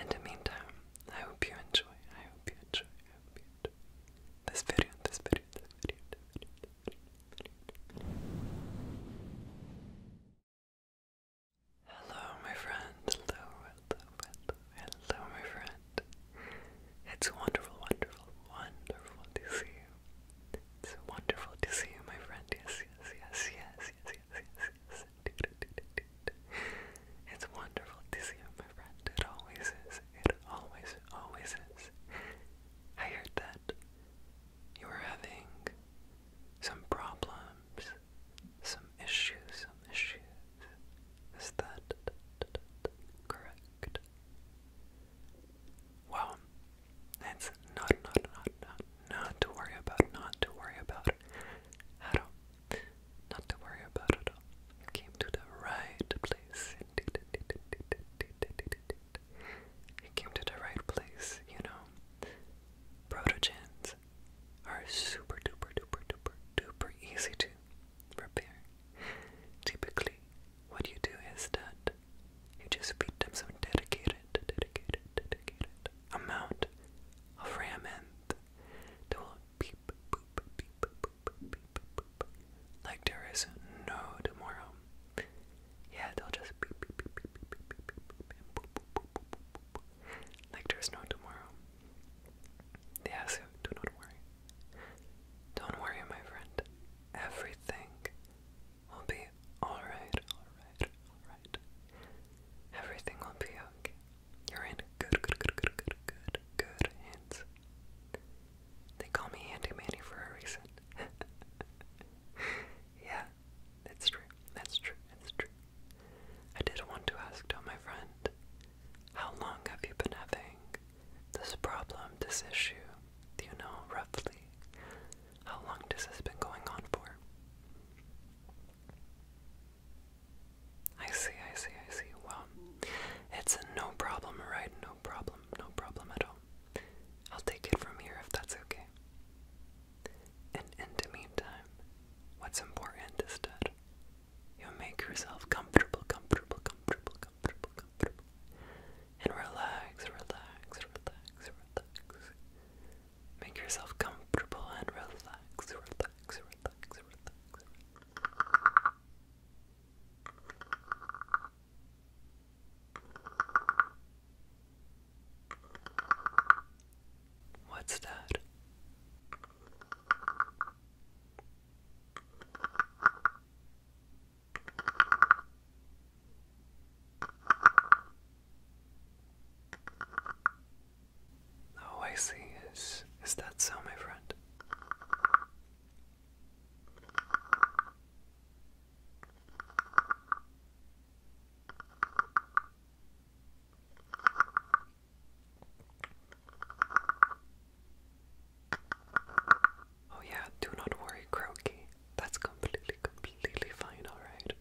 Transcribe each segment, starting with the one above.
in the meantime, I hope you enjoy, I hope you enjoy, I hope you enjoy this video, this video, this video, this video, Hello my friend, hello, hello, hello my friend. It's wonderful, wonderful, wonderful to see you. It's wonderful to see you, my friend. Yes, yes, yes, yes, yes, It's wonderful to see you, my friend. It always is. It always, always is. I heard that you were having some problems, some issues, some issues. Is that correct? Well, it's not, not, not, not, not to worry about, not to worry about. Haru, not to worry about it all. You came to the right place. Indeed, came to the right place, you know. Protogens are super duper duper duper duper easy to prepare. Typically, what you do is that you just feed them some dedicated, dedicated, dedicated amount of ramment. They will beep, boop, beep, boop, beep, boop, like there is no tomorrow. Yeah, they'll just beep, beep, beep, beep, beep, boop, boop, boop, like there's no tomorrow. Yeah, do not worry. Don't worry, my friend. Everything will be alright, alright, alright. Everything will be okay. You're in good, good, good, good, good, good, hands. They call me Handy Manny for a reason. yeah, that's true, that's true, that's true. I did want to ask though, my friend, how long have you been having this problem, this issue? Do you know roughly how long this has been going on for? I see, I see, I see. Well, it's a no problem, right? No problem, no problem at all. I'll take it from here if that's okay. And in the meantime, what's important is that you make yourself comfortable, comfortable, comfortable, comfortable, comfortable. And relax, relax, relax, relax. Make yourself comfortable and relax, relax, relax, relax. What's that? Oh, I see. Is, is that so, my friend? Oh, yeah, do not worry, Croaky. That's completely, completely fine, alright?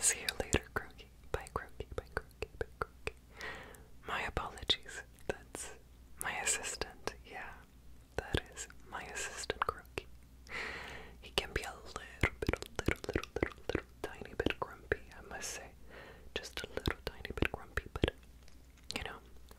See you later, Croaky. Bye, Croaky. Bye, Croaky. Bye, Croaky. My apologies. That's my assistant. Yeah, that is my assistant, Croaky. He can be a little bit, little, little, little, little tiny bit grumpy, I must say. Just a little tiny bit grumpy, but you know,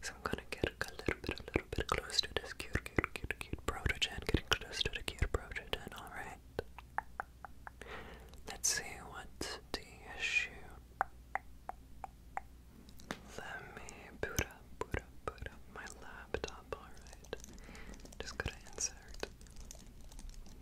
So I'm gonna get a little bit, a little bit close to this cute, cute, cute, cute protogen. Getting close to the cute protogen. All right. Let's see what the issue. Let me boot up, boot up, boot up my laptop. All right. Just gotta insert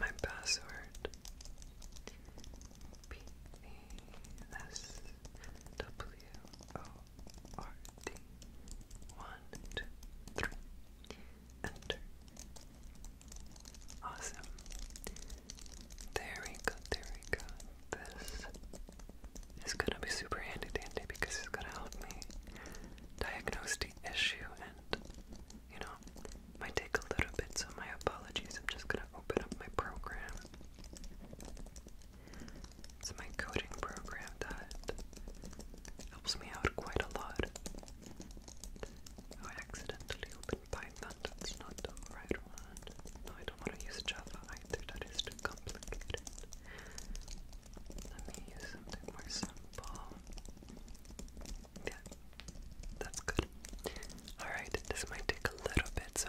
my password. P E S W O R-D. One, two, three. Enter. Awesome. There we go, there we go. This is gonna be super handy dandy because it's gonna help me diagnose the issue and, you know, might take a little bit, so my apologies. I'm just gonna open up my program. It's my coding program that helps me out quite a lot. I accidentally opened Python. That's not the right one. No, I don't want to use Java either. That is too complicated. Let me use something more simple. Yeah, that's good. Alright, this might take a little bit, so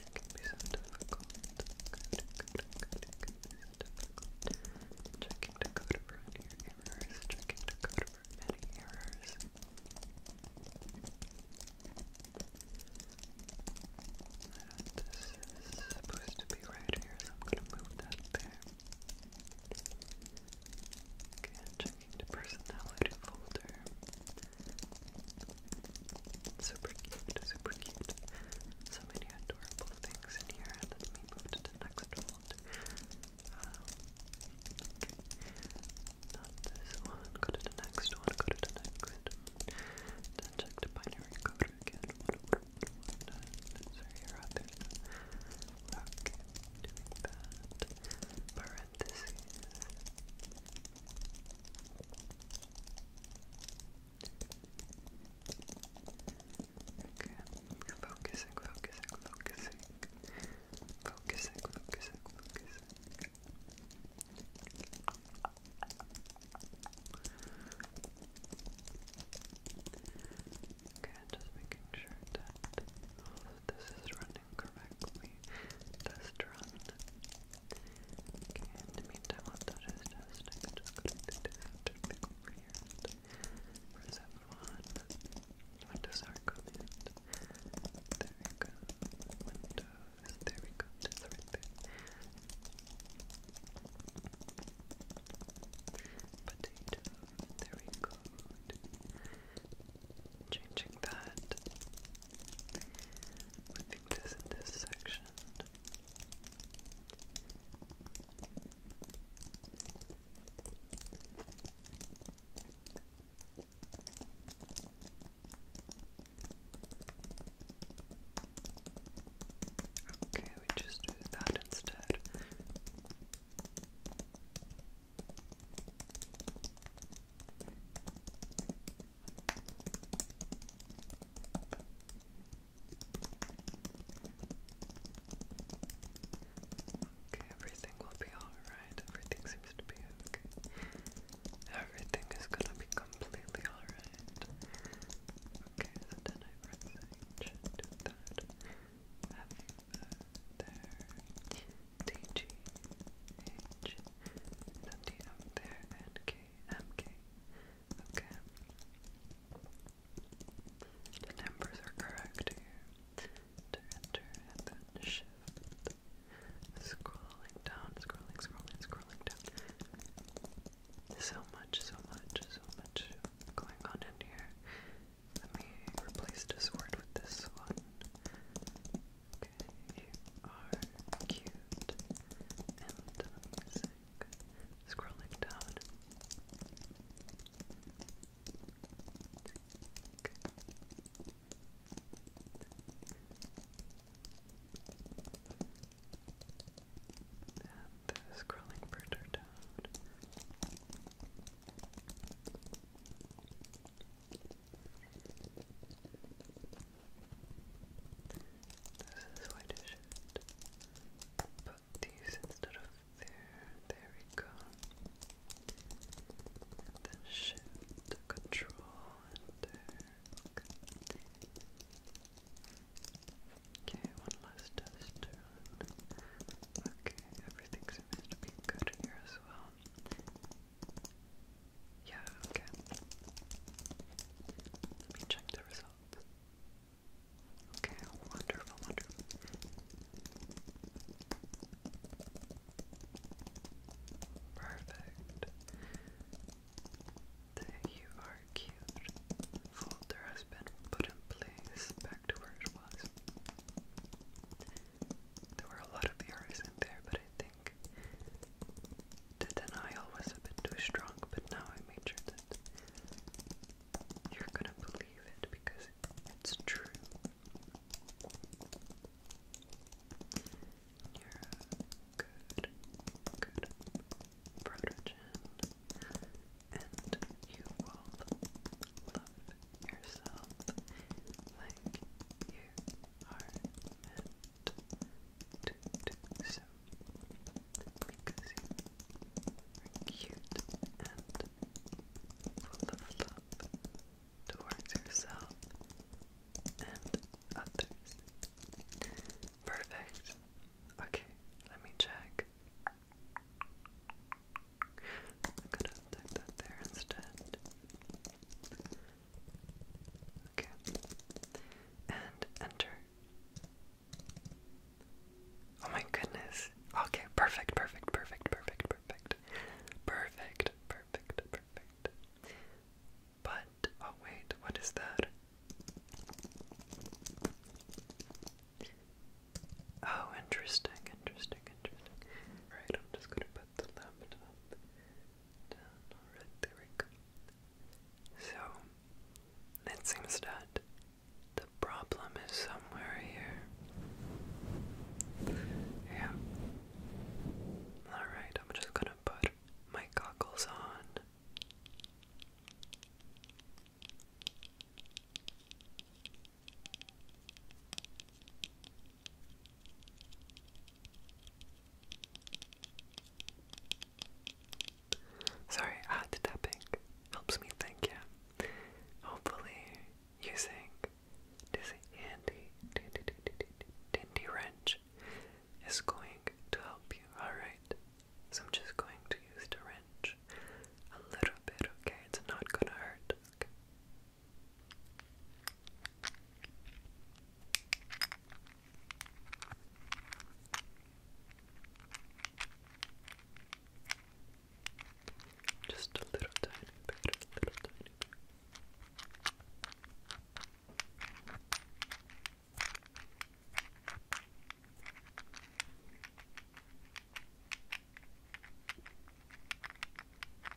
could it Checking the code for errors, checking the code for any errors. And this is supposed to be right here, I'm gonna move that there. checking the personality folder. Super cute, super cute. So many adorable things in here. Let me move to the next one. Um, this one. Go to the next one. Go to the next one. check the binary code again. sorry, you're out there. doing that. Parentheses. Okay, focusing, focusing, focusing, focusing, focusing, focusing. Okay, just making sure that this is running correctly. Test run. Okay, in the meantime, what just, i just going to do this to pick over here and press F1. Windows are coming. There we go. Windows, there we go. there. Potato, there we go. Changing that. Moving this in this section mentioned. Okay, we just do that instead. Okay, everything will be alright. Everything seems to be okay. Everything is gonna be completely alright. Okay, so then I press H and that. F there. D G H. there and Q. MK. Okay. The numbers are correct here. To enter and then shift. Scrolling down, scrolling, scrolling, scrolling down. So much, so much, so much going on in here. Let me replace this word with this one. Okay, are cute. Scrolling down. And scrolling further down. This is what I should put these instead of there. There we then shift control and there. Okay. one last test Okay, everything seems to be good here as well. Yeah, Let me check the results. Okay, wonderful, wonderful. Perfect. The you are folder has been put in place back to where it was. There were a lot of the errors in there, but I think think the denial was a bit too strong, but now I made sure that you're gonna believe it because it's true. You're good, good protege, and you will love yourself like you are some because you're cute and full towards yourself and others. Perfect. Okay, let me check. I'm gonna that there instead. Okay. And enter. Oh my goodness. Okay, perfect, perfect, perfect, perfect, perfect. Perfect, perfect, perfect. But, oh wait, what is that? Oh, interesting, interesting, interesting. Alright, I'm just gonna put the lamp down, alright, there we go. So, it seems that the problem is somewhere here. Yeah. Alright, I'm just gonna put my goggles on. Sorry, I had uh, to tap it. helps me think, yeah. Hopefully, using this handy dindy wrench is going to help you, alright? So I'm just going to use the wrench a little bit, okay? It's not gonna hurt, just a little tiny bit, a little tiny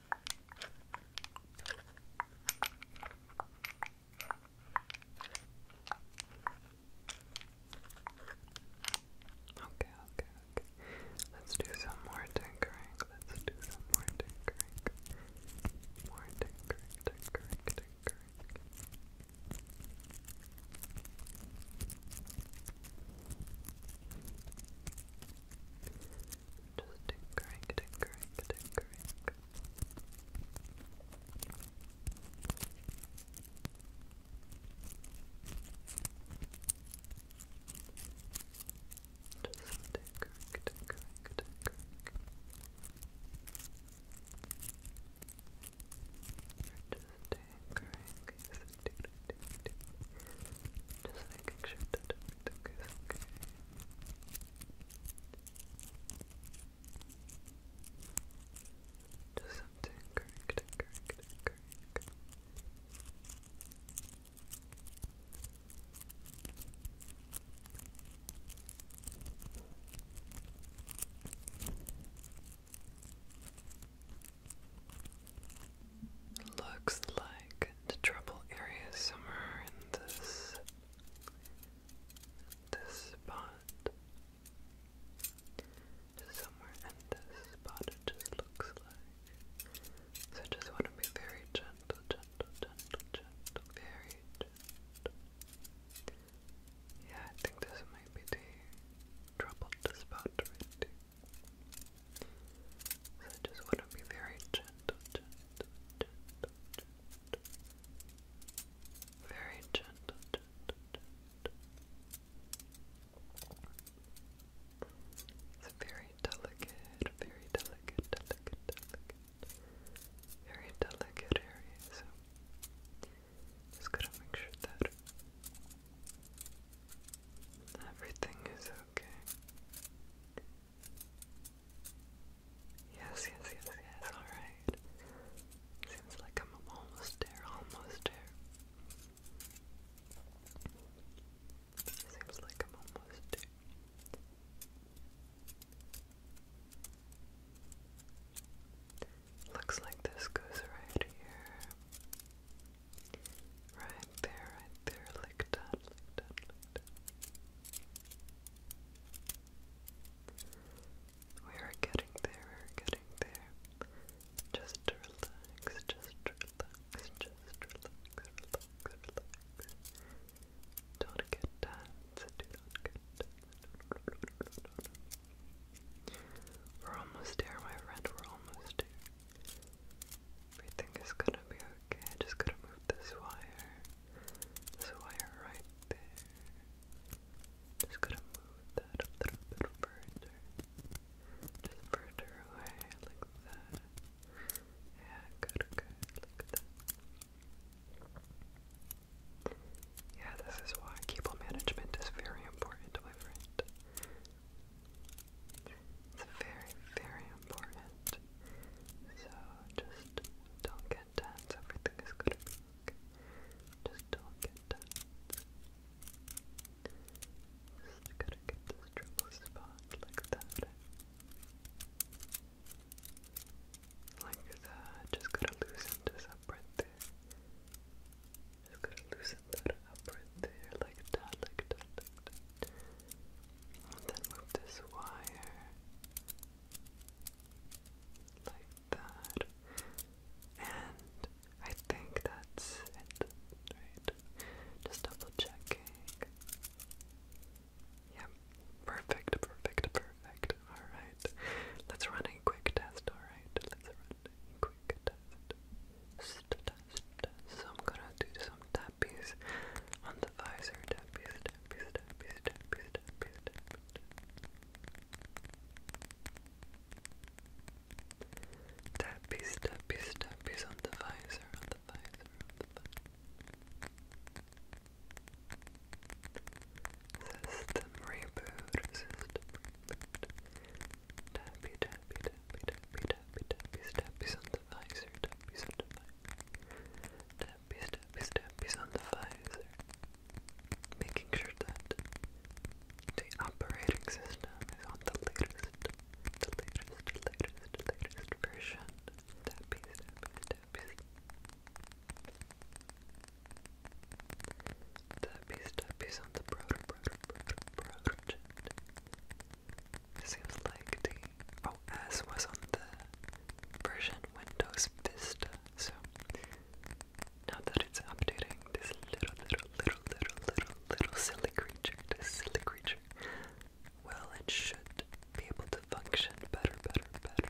Okay, okay, okay. Let's do some more tinkering. Let's do some more tinkering. More tinkering, tinkering, tinkering. Just tinkering, tinkering, tinkering. Just tinkering, tinkering, tinkering. Just tinkering, just making sure that okay, it's okay. Just something correct, Looks like the trouble area is somewhere in this this spot. Somewhere in this spot it just looks like. So just want to be very gentle, gentle, gentle, gentle, very gentle. Yeah, I think this might be the troubled spot right so I just want to be very gentle, Very gentle, very delicate, very delicate, delicate, delicate. Very delicate area, just gotta make sure that everything is okay. Yes, yes, yes, yes, alright. Seems like I'm almost there, almost there. Seems like I'm almost there. Looks like this goes right here. Right there, right there, like that, like that, we are getting there, we are getting there. Just relax, just relax, just relax, Don't get tense, do not get tense. We're almost there, my friend, we're almost there. Everything is gonna be okay. I just going to move this wire. This wire right there. Just gotta move that a little bit further. Just further away, like that. Yeah, good, good. Look Yeah, this is why cable management is very important, my friend. It's very, very important. So just don't get tense. Everything is going Just don't get tense. Just gotta get this trouble spot like that. Like that. Just gotta loosen this up right there. Just gotta loosen that up right there. Like that, like that, like that then move this wire like that. And I think that's it, right? Just double checking. Yep, perfect, perfect, perfect. Alright, let's run a quick test, alright? Let's run a quick test test. So I'm gonna do some tappies on the visor. Tappies, tappies, tappies, tappies, tappies, tappies. Tappies, tappies, tappies on the visor, on the visor, System reboot, system reboot. Tappy, tappy, tappy, tappy, tappy, tappy, tappies on the visor, on the visor, making sure that the operating system is on the latest, the latest, latest, latest version. Tappies, tappies, tappies. Tappies, tappies on the proto, proto, proto, proto, proto Seems like the OS was on the version Windows Vista, so now that it's updating this little, little, little, little, little, little silly creature, this silly creature, well, it should be able to function better, better, better.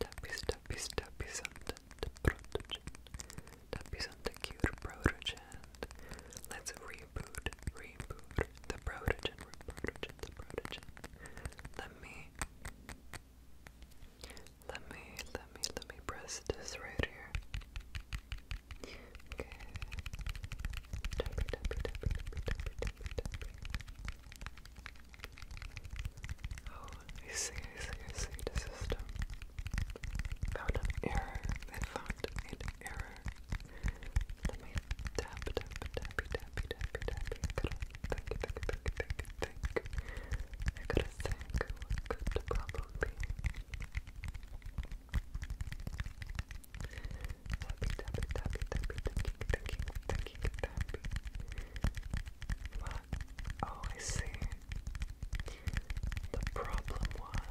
Tappy, tappy, tappy, something, the protogen. Tappy, something cute protogen. Let's re reboot, reboot, the protogen, protogen, the protogen. Let me, let me, let me, let me press this right here. Okay. Oh, I see, I see, I see the system. Found an error. They found an error. Let me tap, tap, tappy, tappy, tappy, tappy. I gotta think, think, think, think, think. I gotta think what could the problem be. Tappy, tappy, tappy, tappy, thinking, thinking, thinking, tappy. What? Oh, I see. The problem was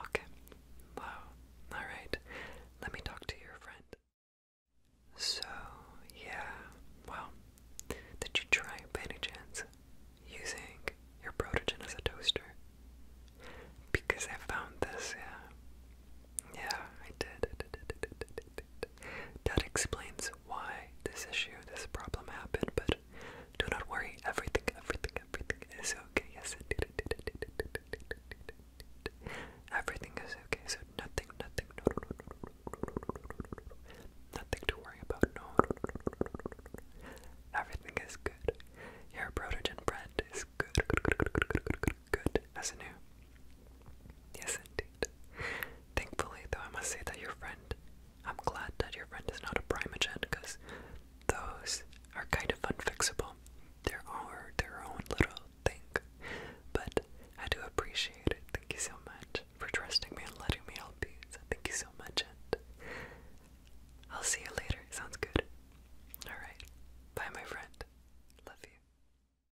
Okay. Wow. All right. Let me talk to your friend. So, yeah. Well, did you try by any chance using your protogen as a toaster? Because I found this, yeah. Yeah, I did. That explains why this issue, this problem happened, but do not worry, everything, everything, everything is okay. Yes, Everything is okay, so nothing, nothing, nothing to worry about. No, everything is good. Your protein bread is good, good, good, good, good, good, good, good, as Yes, it Thankfully, though, I must say that your friend, I'm glad that your friend is not a primogen, because those are kind of unfixable. There are their own little thing. But I do appreciate it. Thank you so much for trusting me and letting me help you. So thank you so much, and I'll see you later. Sounds good. Alright. Bye, my friend. Love you.